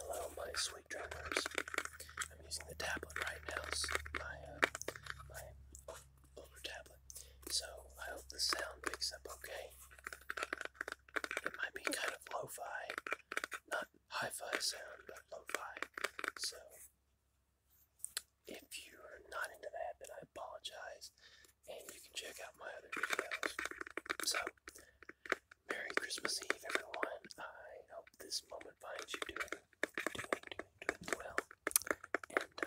Hello, my sweet dreamers. I'm using the tablet right now, my, uh, my older tablet, so I hope the sound picks up okay. It might be kind of lo fi, not hi fi sound, but lo fi. So, if you're not into that, then I apologize, and you can check out my other videos. So, Merry Christmas Eve, everyone. I hope this moment finds you doing, doing, doing, doing well. And uh,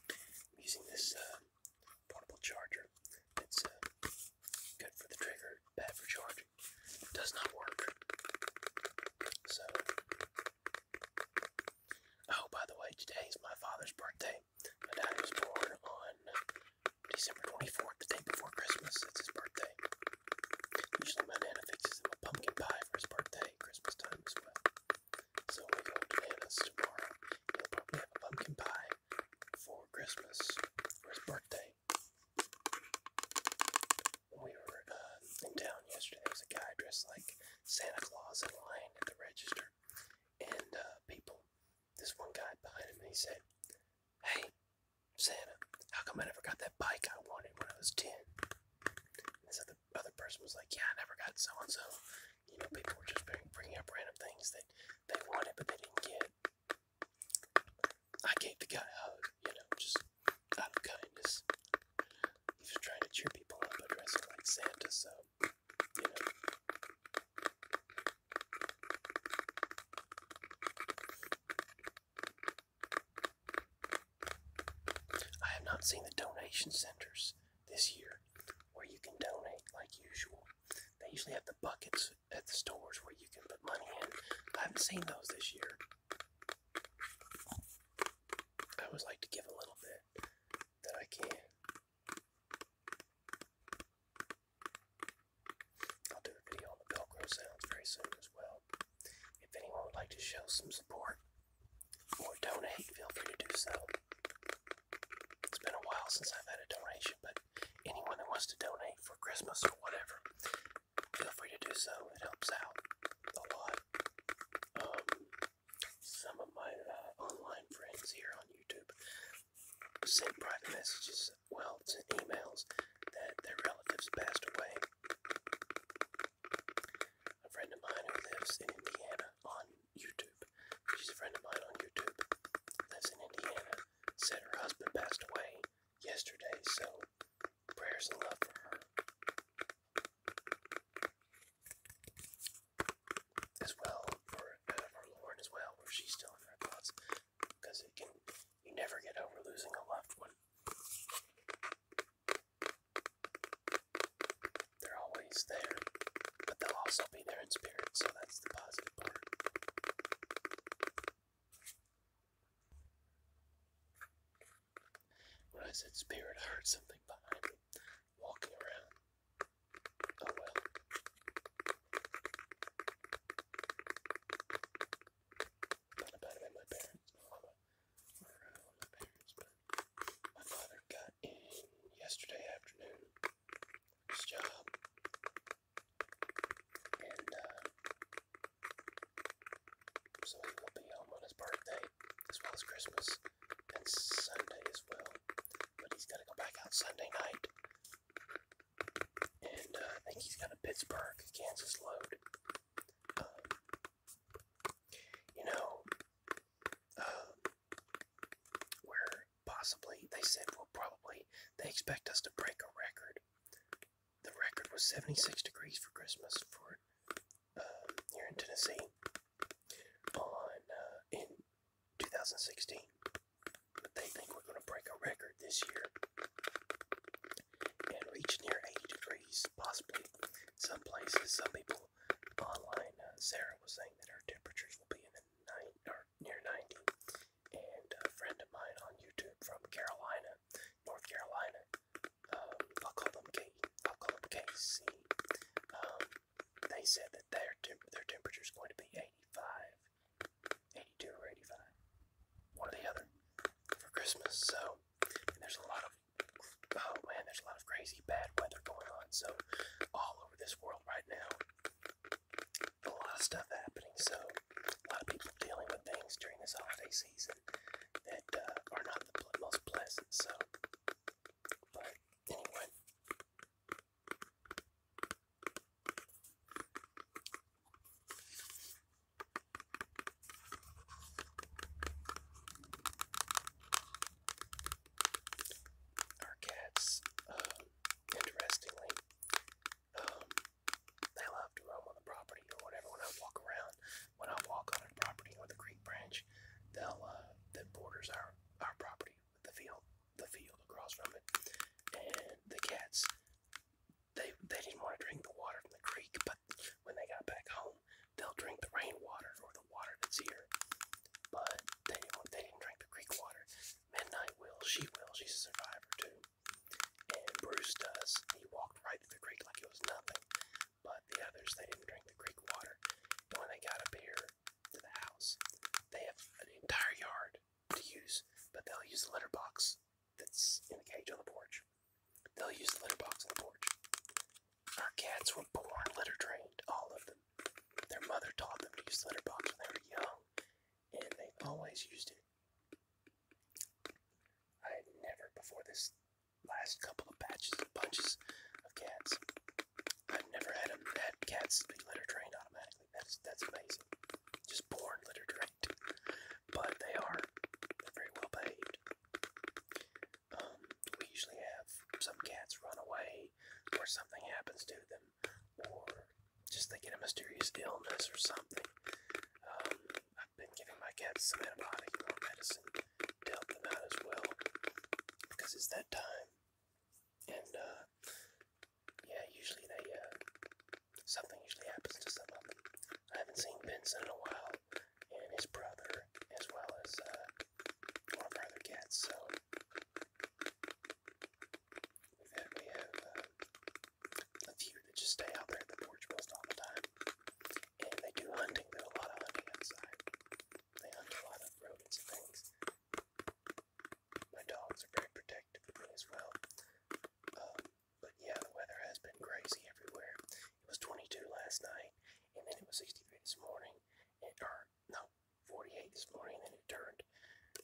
I'm using this uh, portable charger. It's uh, good for the trigger, bad for charging. It does not work. So, oh, by the way, today is my father's birthday. My dad was born on December 24th, the day before Christmas. That's his birthday. Usually my nana fixes him a pumpkin pie for his birthday, Christmas time as well. So we go to Nana's tomorrow. He'll probably have a pumpkin pie for Christmas for his birthday. When we were uh, in town yesterday, there was a guy dressed like Santa Claus in line at the register, and uh, people this one guy behind him he said, Hey, Santa, how come I never got that bike I wanted when I was 10? this other, other person was like, Yeah, I never got so and so. You know, people were just bringing up random things that they wanted but they didn't get. I gave the guy a hug, you know, just out of kindness. He was trying to cheer people up by dressing like Santa, so you know. I have not seen the donation centers this year where you can donate like usual. They usually have the buckets at the stores where you can put money in. I haven't seen those this year. I always like to give a little bit that I can. I'll do a video on the Velcro sounds very soon as well. If anyone would like to show some support or donate, feel free to do so. It's been a while since I've had a donation, but anyone that wants to donate for Christmas or whatever, feel free to do so. It helps out a lot. Um, some of my uh, online friends here on YouTube send private messages, well, send emails that their relatives passed away. A friend of mine who lives in Indiana on YouTube, she's a friend of mine on YouTube, lives in Indiana, said her husband passed away yesterday, so prayers and love for her as well for for uh, Lauren as well, where she's still in her thoughts, because it can you never get over losing a loved one. They're always there, but they'll also be there in spirit. So that's the positive part. When I said spirit, I heard something behind me walking around. Oh well. Not about it my parents, my parents, but my father got in yesterday afternoon. His job. And uh, so he will be home on his birthday as well as Christmas and Sunday as well but he's gonna go back out Sunday night. And uh, I think he's got a Pittsburgh, Kansas load. Um, you know, um, where possibly they said, well, probably they expect us to break a record. The record was 76 degrees for Christmas for uh, here in Tennessee on uh, in 2016. But they think we're going to break a record this year and reach near 80 degrees, possibly. Some places, some people online, uh, Sarah was saying that our temperatures will be in the nine, or near 90. And a friend of mine on YouTube from Carolina, North Carolina, um, I'll call them K, I'll call them KC. Um, they said that their their temperature is going to be 85, 82 or 85, one or the other, for Christmas. So and there's a lot of oh man, there's a lot of crazy bad weather going on. So all over this world right now, a lot of stuff happening. So a lot of people dealing with things during this holiday season that uh, are not the most pleasant. So anyway. Our cats, um, interestingly, um, they love to roam on the property or whatever. When I walk around, when I walk on a property or the creek branch, they'll, uh, that borders our our property, the field, the field across from it, and the cats. They they didn't want to drink the water from the creek, but when they got back home, they'll drink the rainwater or the water that's here. But they didn't want, they didn't drink the creek water. Midnight will, she will, she's a survivor too. And Bruce does. He walked right through the creek like it was nothing. But the others, they didn't drink the creek water. And when they got up here, to the house. They have an entire yard to use, but they'll use the litter box that's in the cage on the porch. They'll use the litter box on the porch. Our cats were born litter trained, all of them. Their mother taught them to use the litter box when they were young, and they've always used it. I had never before this last couple of batches and bunches of cats. I've never had them had cats be litter trained automatically. That's that's amazing. Just born litter trained, but they are they're very well behaved. Um, we usually have some cats run away, or something happens to them, or just they get a mysterious illness or something. Um, I've been giving my cats some antibiotic or medicine to help them out as well because it's that time. And uh, yeah, usually they uh, something usually happens to some of them. I haven't seen Benson in a while, and his brother, as well as uh, one of our other cats. So we've had, we have uh, a few that just stay out there at the porch most all the time, and they do hunting. There's a lot of hunting outside. They hunt a lot of rodents and things. My dogs are very protective as well. Um, but yeah, the weather has been crazy everywhere. It was 22 last night, and then it was 63 this morning, and, or no, 48 this morning, and then it turned.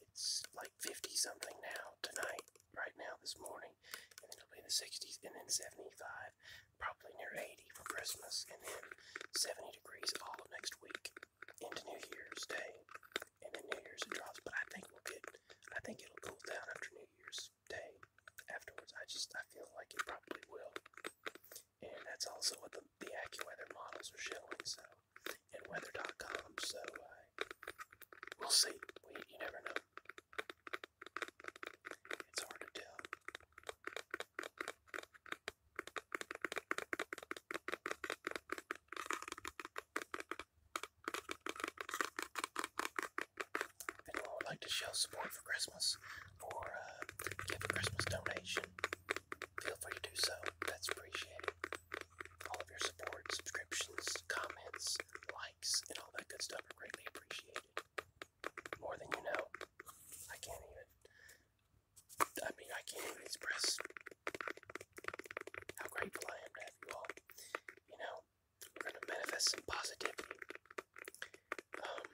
It's like 50 something now, tonight, right now, this morning, and it'll be in the 60s, and then 75, probably near 80 for Christmas, and then 70 degrees all of next week into New Year's Day, and then New Year's it drops. But I think we'll get, I think it'll cool down after New Year's Day. Afterwards, I just I feel like it probably will, and that's also what the, the AccuWeather models are showing. So, and weather.com. So, uh, we'll see. We you never know. It's hard to tell. Anyone would like to show support for Christmas or uh, give a Christmas donation, feel free to do so. That's appreciated. All of your support, subscriptions, comments, likes, and all that good stuff are greatly appreciated more than you know. I can't even. I mean, I can't even express how grateful I am to have you all. You know, we're gonna manifest some positivity. Um,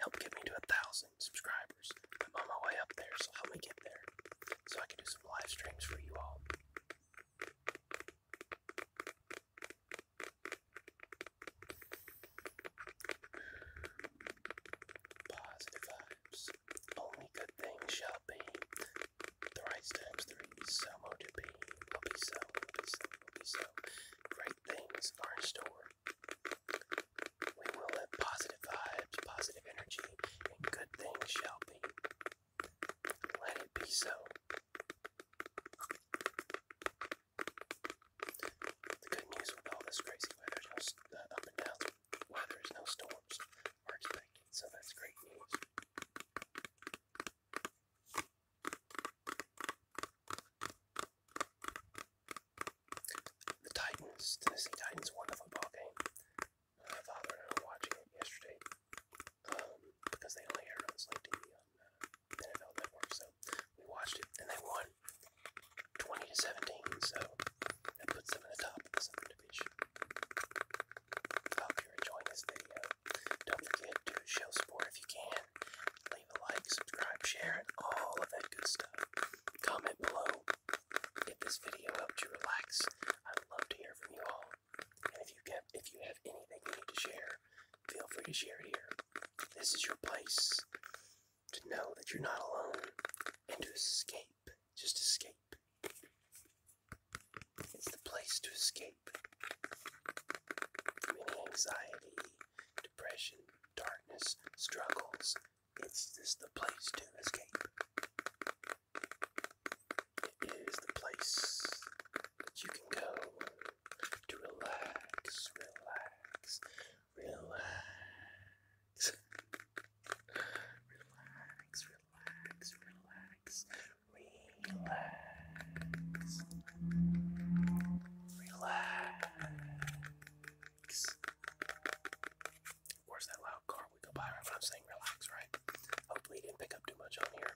help get me to a thousand subscribers. I'm on my way up there, so help me get there, so I can do some live streams for you all. Positive vibes. Only good things shall be. Thrice times three, so be. so, be so, be so. Great things are in store. We will have positive vibes, positive energy, and good things shall be. Let it be so. The good news with all this crazy weather, just no, up and down weather, is no storms are expected, so that's great news. The Titans, Tennessee Titans, won the football game. My father and were watching it yesterday um, because they only aired on Sling NFL Network. So we watched it, and they won 20 to 17. So that puts them in the top of the Southern Division. I hope you're enjoying this video. Don't forget to show support if you can. Leave a like, subscribe, share, all of that good stuff. Comment below if this video helped you relax. I'd love to hear from you all. And if you, get, if you have anything to share, feel free to share it here. This is your place to know that you're not alone and to escape. Just escape. It's the place to escape from any anxiety, depression, darkness, struggles. It's just the place to escape. It is the place you can go to relax, relax, relax. Relax, relax, relax, relax. Relax. Of that loud car would go by I'm saying relax, right? Hopefully, didn't pick up too much on here.